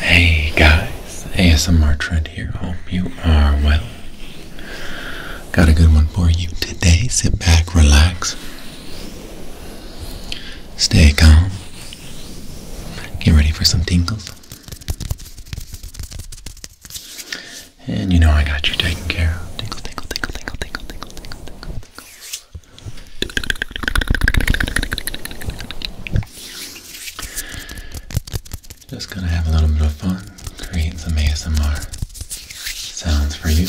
Hey guys, ASMR Trend here. Hope you are well. Got a good one for you today. Sit back, relax, stay calm, get ready for some tingles. And you know I got you taken care of. Tinkle, tinkle, tinkle, tinkle, tinkle, tinkle, tinkle, tinkle, tinkle. Just gonna have a little bit of fun, create some ASMR sounds for you.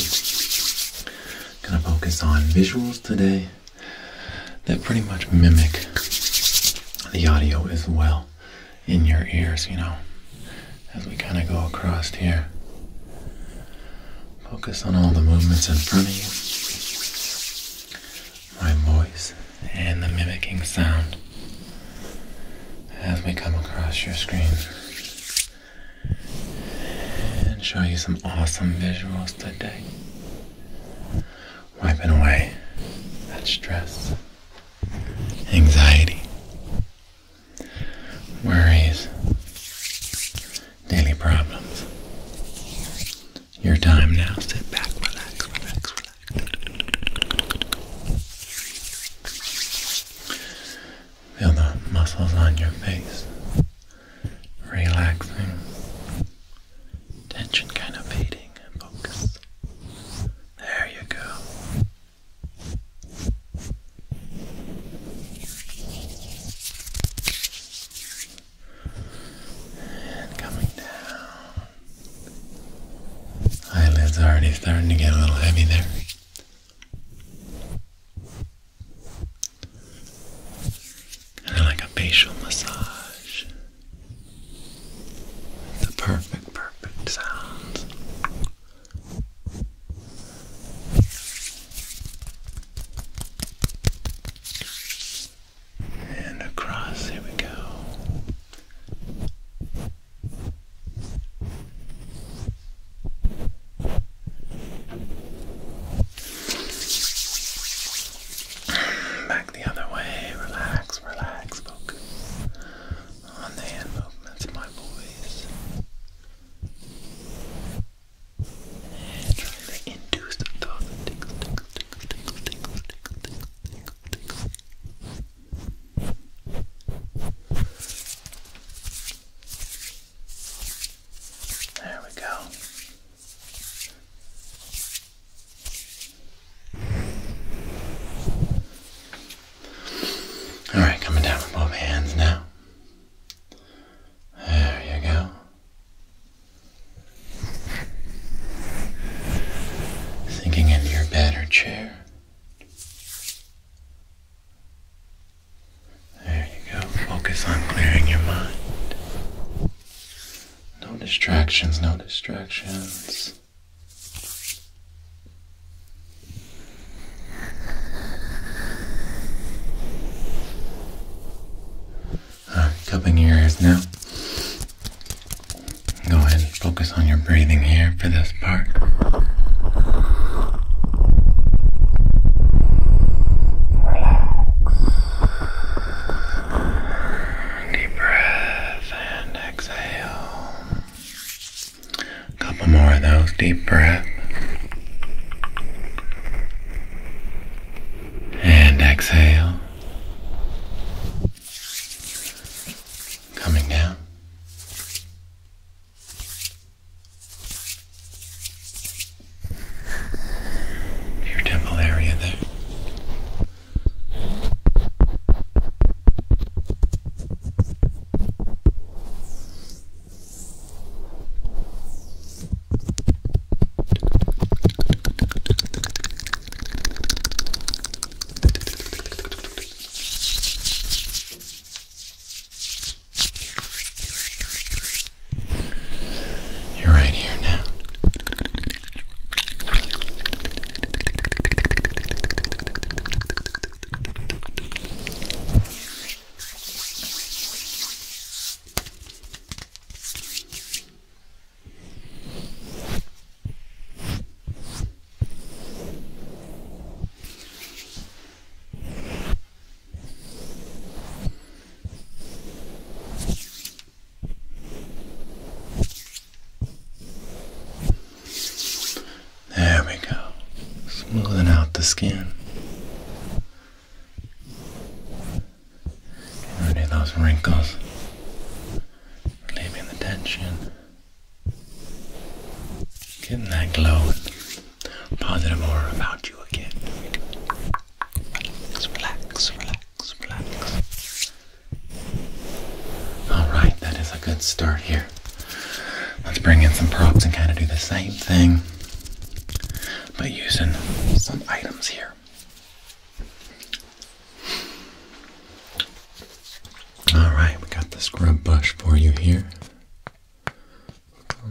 Gonna focus on visuals today that pretty much mimic the audio as well in your ears, you know, as we kind of go across here. Focus on all the movements in front of you, my voice, and the mimicking sound as we come across your screen and show you some awesome visuals today. Wiping away that stress, anxiety, worries, daily problems. Your time now. Sit back, relax, relax, relax. Feel the muscles on your face relaxing. Tension kind of fading. Focus. There you go. And coming down. Eyelids already starting to get a little heavy there. Kind of like a facial massage. The perfect, perfect sounds. And across, here we go. Back the other way, relax, relax, focus on the hand movements my voice trying to induce those tingles, There we go. All right, coming down with both hands now. There you go. Sinking into your bed chair. There you go. Focus on clearing your mind. No distractions, no distractions i uh, cupping your ears now. Go ahead and focus on your breathing here for this part. Relax. Deep breath and exhale. A couple more of those deep breaths and exhale. Coming down. Your temple area there. You're right here now. There we go. Smoothing out the skin. Getting rid of those wrinkles, relieving the tension, getting that glow positive aura about you again. Relax, relax, relax, relax. Alright, that is a good start here. Let's bring in some props and kind of do the same thing by using some items here. Alright, we got the scrub brush for you here.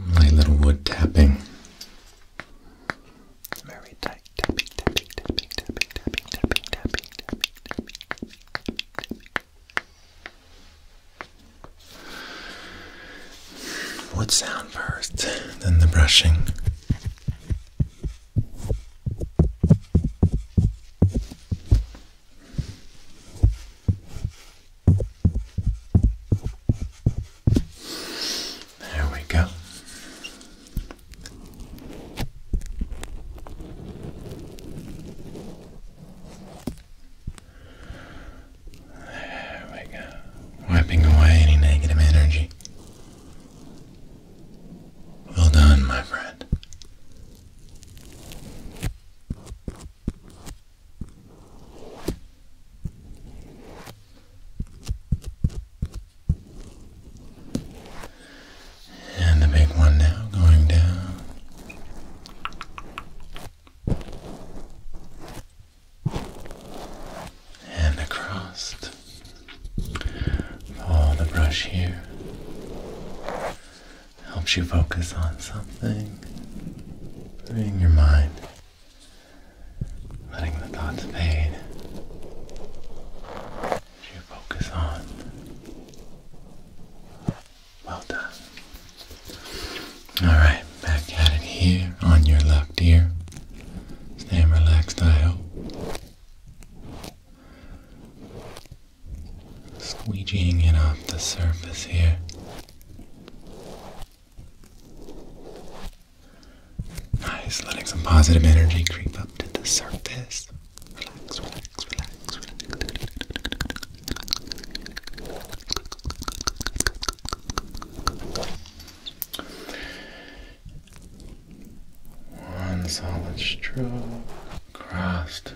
My little wood tapping. Very tight. What sound first, then the brushing? There we go. There we go. Wiping away any negative energy. Well done, my friend. And the big one now going down and across. Follow the brush here. Helps you focus on something. Bring your mind, letting the thoughts fade. You focus on. Well done. Alright, back at it here on your left ear. Stay relaxed, I hope. Squeegeeing it off the surface here. Nice, letting some positive energy creep up to the surface. Relax, relax, relax, relax. One solid stroke crossed.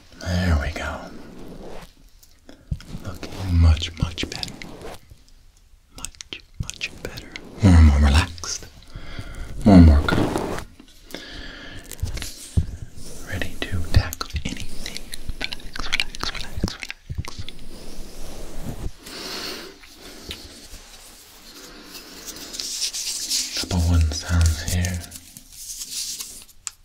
There we go. Looking much, much better. Much, much better. More and more relaxed. More and more calm. Ready to tackle anything. Relax, relax, relax, relax. Couple wooden sounds here.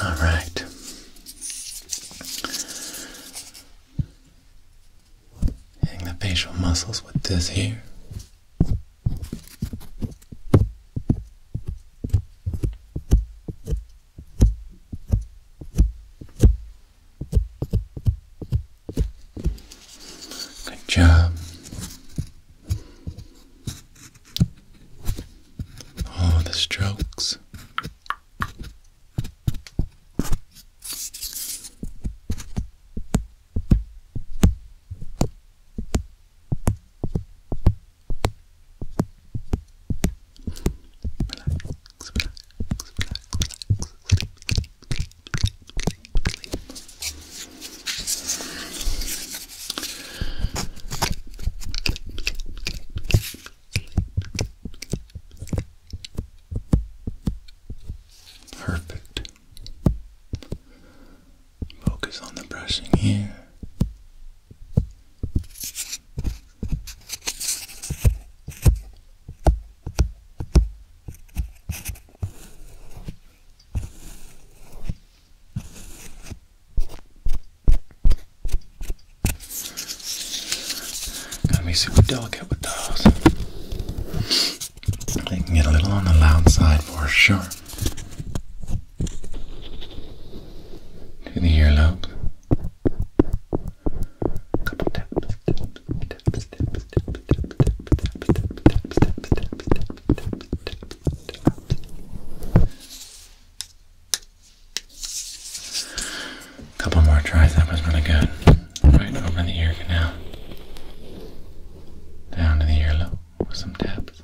All right. Hitting the facial muscles with this here. Good job. All the strokes. Perfect. Focus on the brushing here. Gotta be super delicate with those. They can get a little on the loud side for sure. To the earlobe. A Couple more tries, that was really good. Right over the ear canal. Down to the earlobe some taps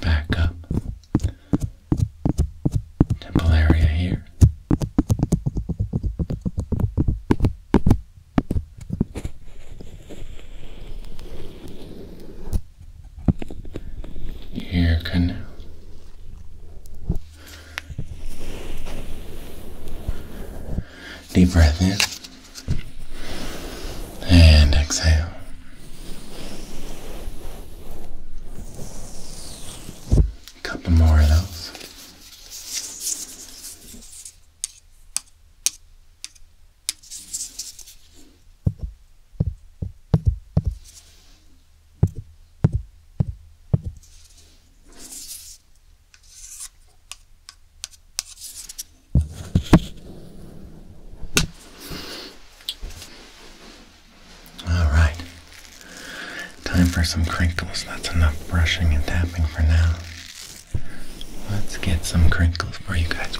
back up. Temple area here. Ear canal. Deep breath in and exhale. A couple more of those. All right. Time for some crinkles. That's enough brushing and tapping for now. Let's get some crinkles for you guys.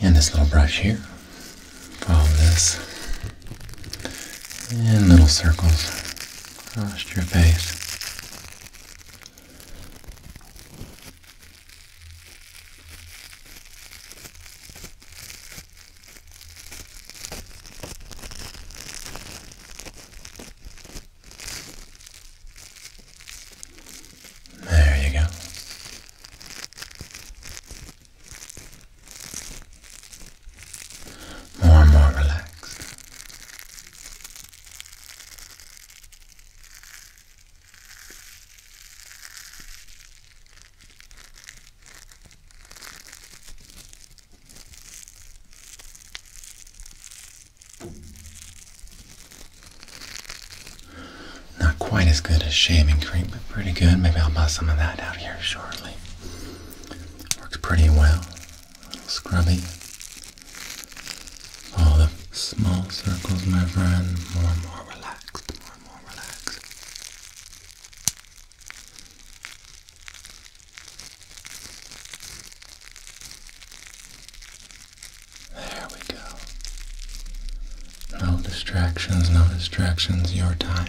And this little brush here. Follow this. In little circles. Across your face. There you go. More and more relaxed. Not quite as good as shaming cream, but pretty good. Maybe I'll buy some of that out here shortly. Works pretty well. A little scrubby. All the small circles, my friend, more and more relaxed, more and more relaxed. There we go. No distractions, no distractions, your time.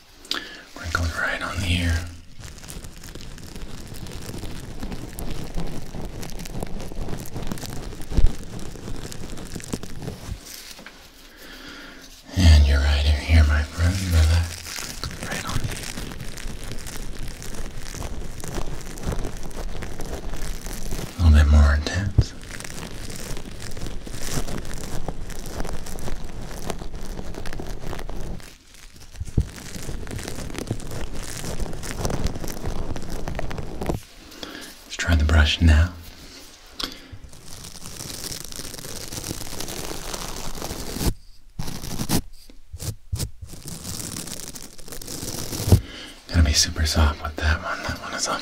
right on the And you're right here, my friend. Relax. Right on the A little bit more intense. Let's try the brush now. Gonna be super soft with that one. That one is a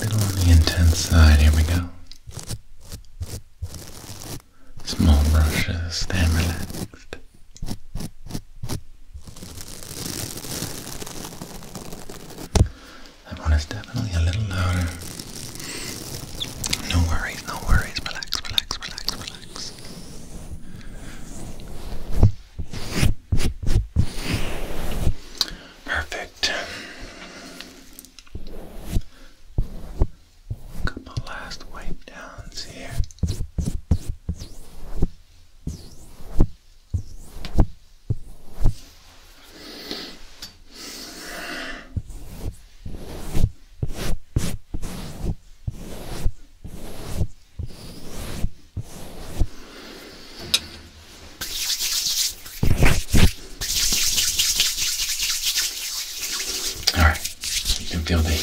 little on the intense side. Here we go small brushes, stand relaxed. That one is definitely a little louder. No worries, no worries. Relax, relax, relax, relax. Perfect. Couple last wipe downs here. All right, you can feel the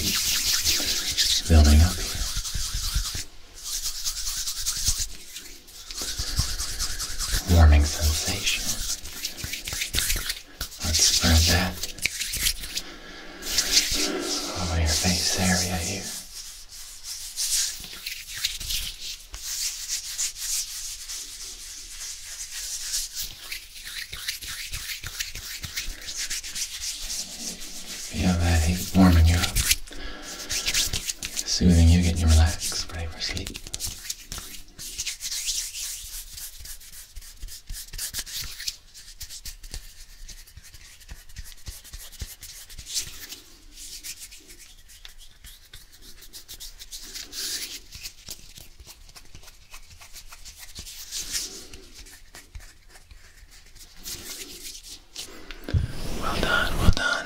building up Warming sensation. Let's spread that over your face area here. Feel that heat warming you up, soothing you, getting you relaxed, ready for sleep. Well done, well done.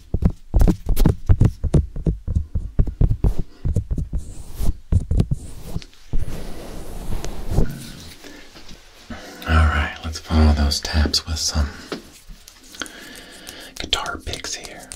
Alright, let's follow those taps with some guitar picks here.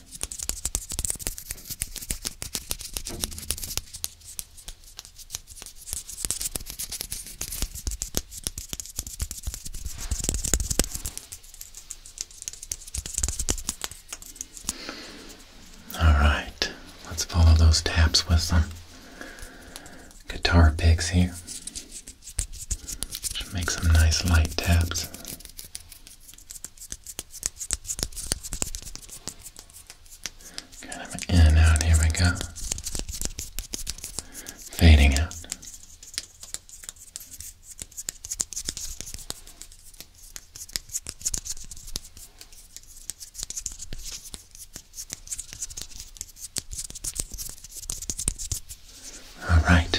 Alright, let's follow those taps with some guitar picks here. Should make some nice light taps. Kind of in and out, here we go. Fading out. All right.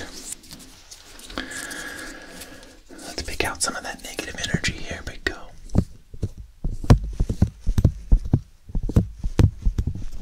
Let's pick out some of that negative energy here, big go.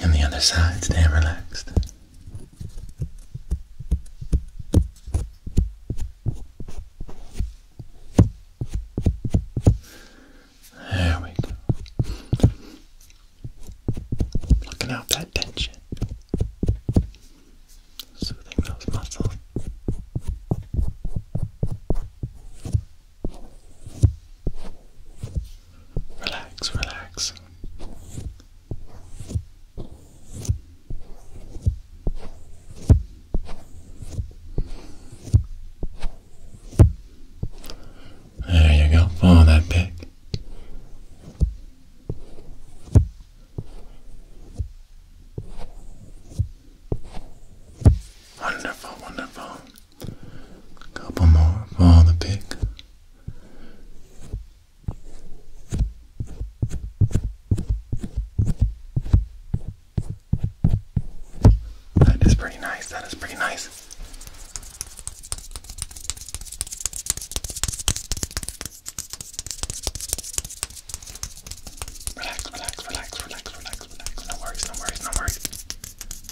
And the other side, stay relaxed. There we go. Looking out that tension. Soothing those muscles. Relax, relax. There you go, follow that pig. Wonderful, wonderful couple more for the pig. That is pretty nice. That is pretty nice. Relax, relax, relax, relax, relax, relax. No worries, no worries, no worries.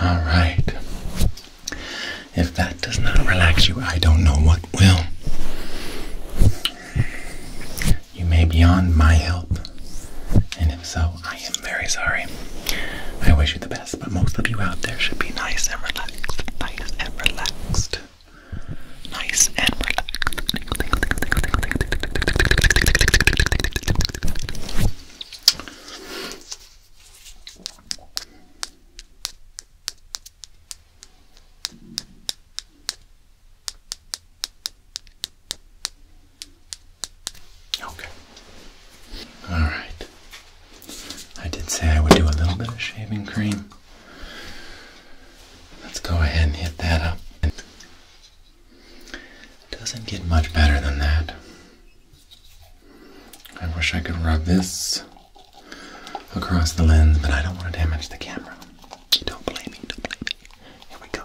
All right. If that does not relax you, I don't know what will. You may be on my help. And if so, I am very sorry. I wish you the best, but most of you out there should be nice and relaxed. Nice and relaxed. Nice and relaxed. Okay. All right. I did say I would do a little bit of shaving cream. Let's go ahead and hit that up. doesn't get much better than that. I wish I could rub this across the lens, but I don't want to damage the camera. Don't blame me, don't blame me. Here we go.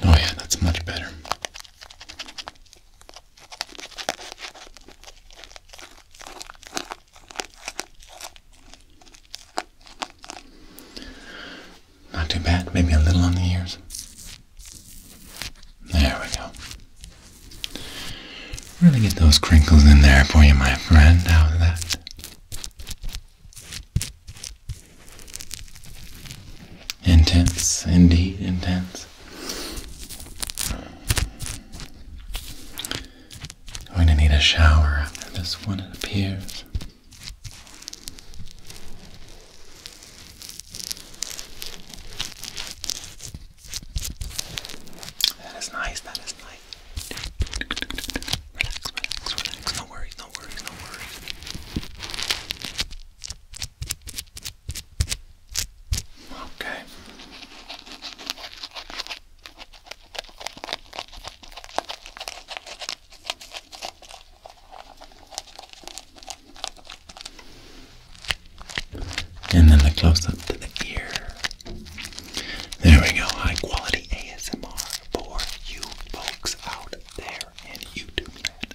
Oh, yeah, that's much better. Not too bad, maybe a little on the ears. There we go. Really get those crinkles in there for you, my friend. How's that? Intense, indeed, intense. Going to need a shower after this one, appears. That is nice, that is nice. Relax, relax, relax. No worries, no worries, no worries. Okay. And then the close up to the ear. There we go. High quality ASMR for you folks out there in YouTube land.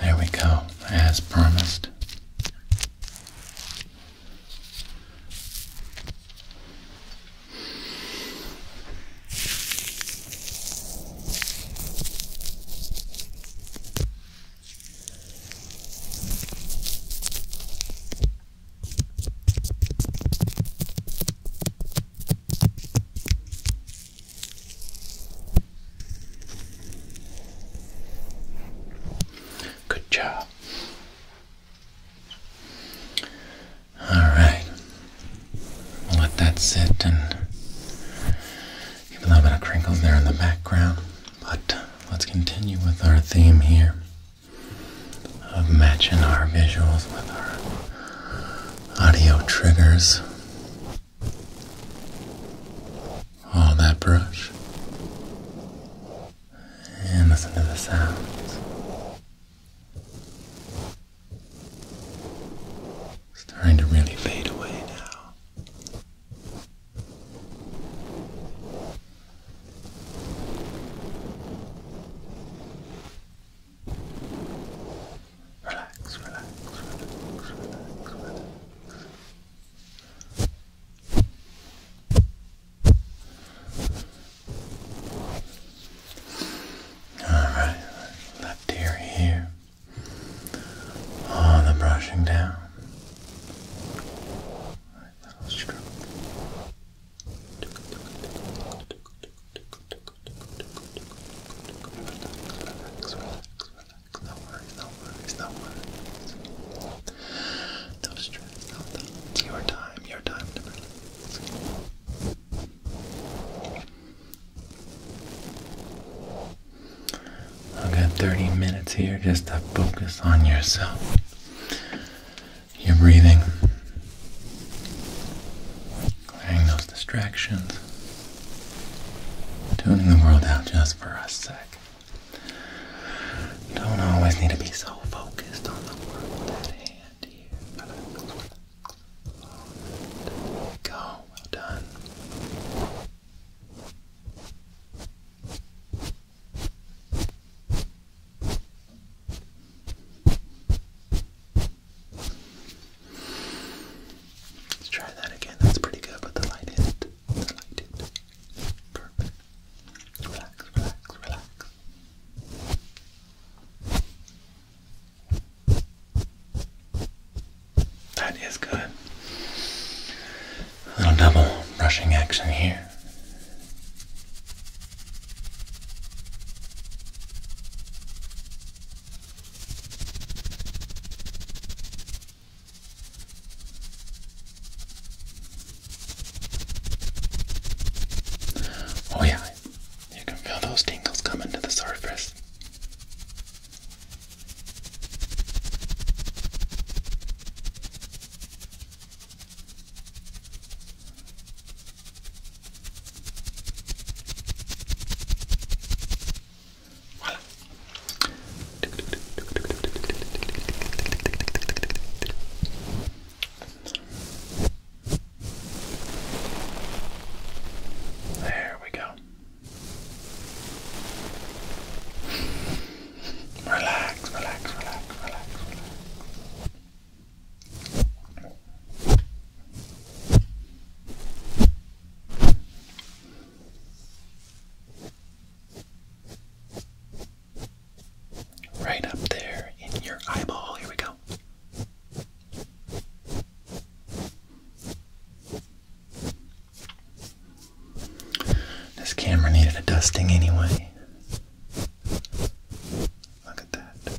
There we go, as promised. Good job. All right. We'll let that sit and give a little bit of crinkle there in the background. But let's continue with our theme here of matching our visuals with our audio triggers. All that brush and listen to the sounds. Starting to really fade away now. Relax, relax, relax, relax, Alright, left ear here. All the brushing down. little stroke. No worries, no worries, no worries. No stress, no thoughts. Your time, your time I've got 30 minutes here just to focus on yourself. Your breathing. Clearing those distractions. Tuning the world out just for a sec. Don't always need to be so focused on the world That hand here. go. Well done. Let's try that again. That's pretty good, but the light hit. The light hit. Perfect. Relax, relax, relax. That is good. A little double brushing action here. Oh, yeah, you can feel those tingles coming to the surface. Voilà. There we go. Relax, relax, relax, relax, relax. Right up there in your eyeball. Here we go. This camera needed a dusting anyway. Look at that.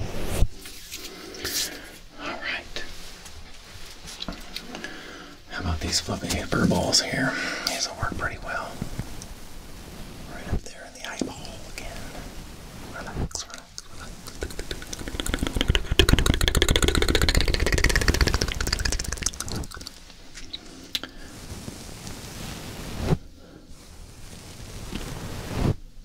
All right. How about these fluffy hamper balls here? These will work pretty well. Right up there in the eyeball again. relax.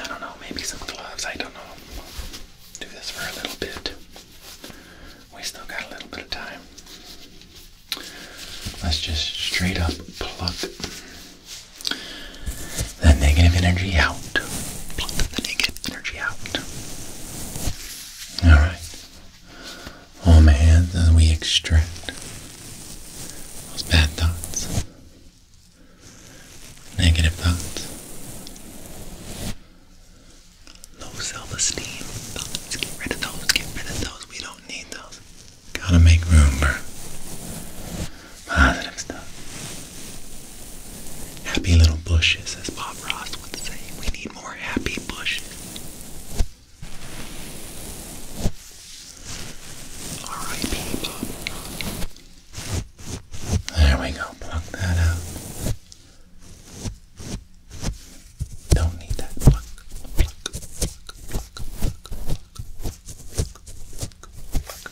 I don't know, maybe some gloves, I don't know. Do this for a little bit. We still got a little bit of time. Let's just straight up pluck the negative energy out. the negative energy out. Alright. Warm oh, my hands as we extract those bad thoughts negative thoughts, low self-esteem thoughts. Get rid of those. Get rid of those. We don't need those. Gotta make room for positive stuff. Happy little bushes, as Bob Ross would say. We need more happy bushes. Alright, people. There we go. Plug that out. Don't need that pluck, pluck, pluck, pluck, pluck, pluck, pluck, pluck, pluck.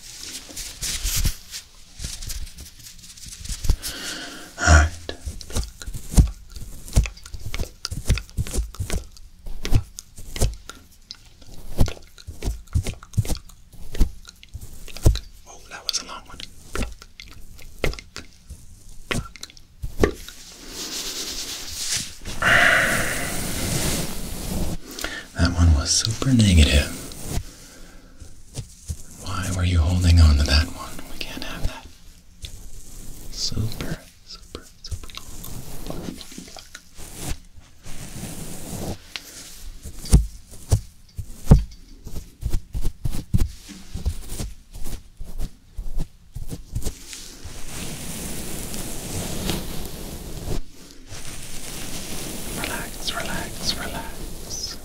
Alright, pluck, pluck, pluck, pluck, pluck, pluck, pluck, pluck, Oh, that was a long one. That one was super negative. Why were you holding on to that one? We can't have that. Super super, super long, Relax, relax, relax.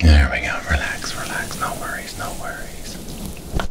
There we go, relax, relax, no worries, no worries.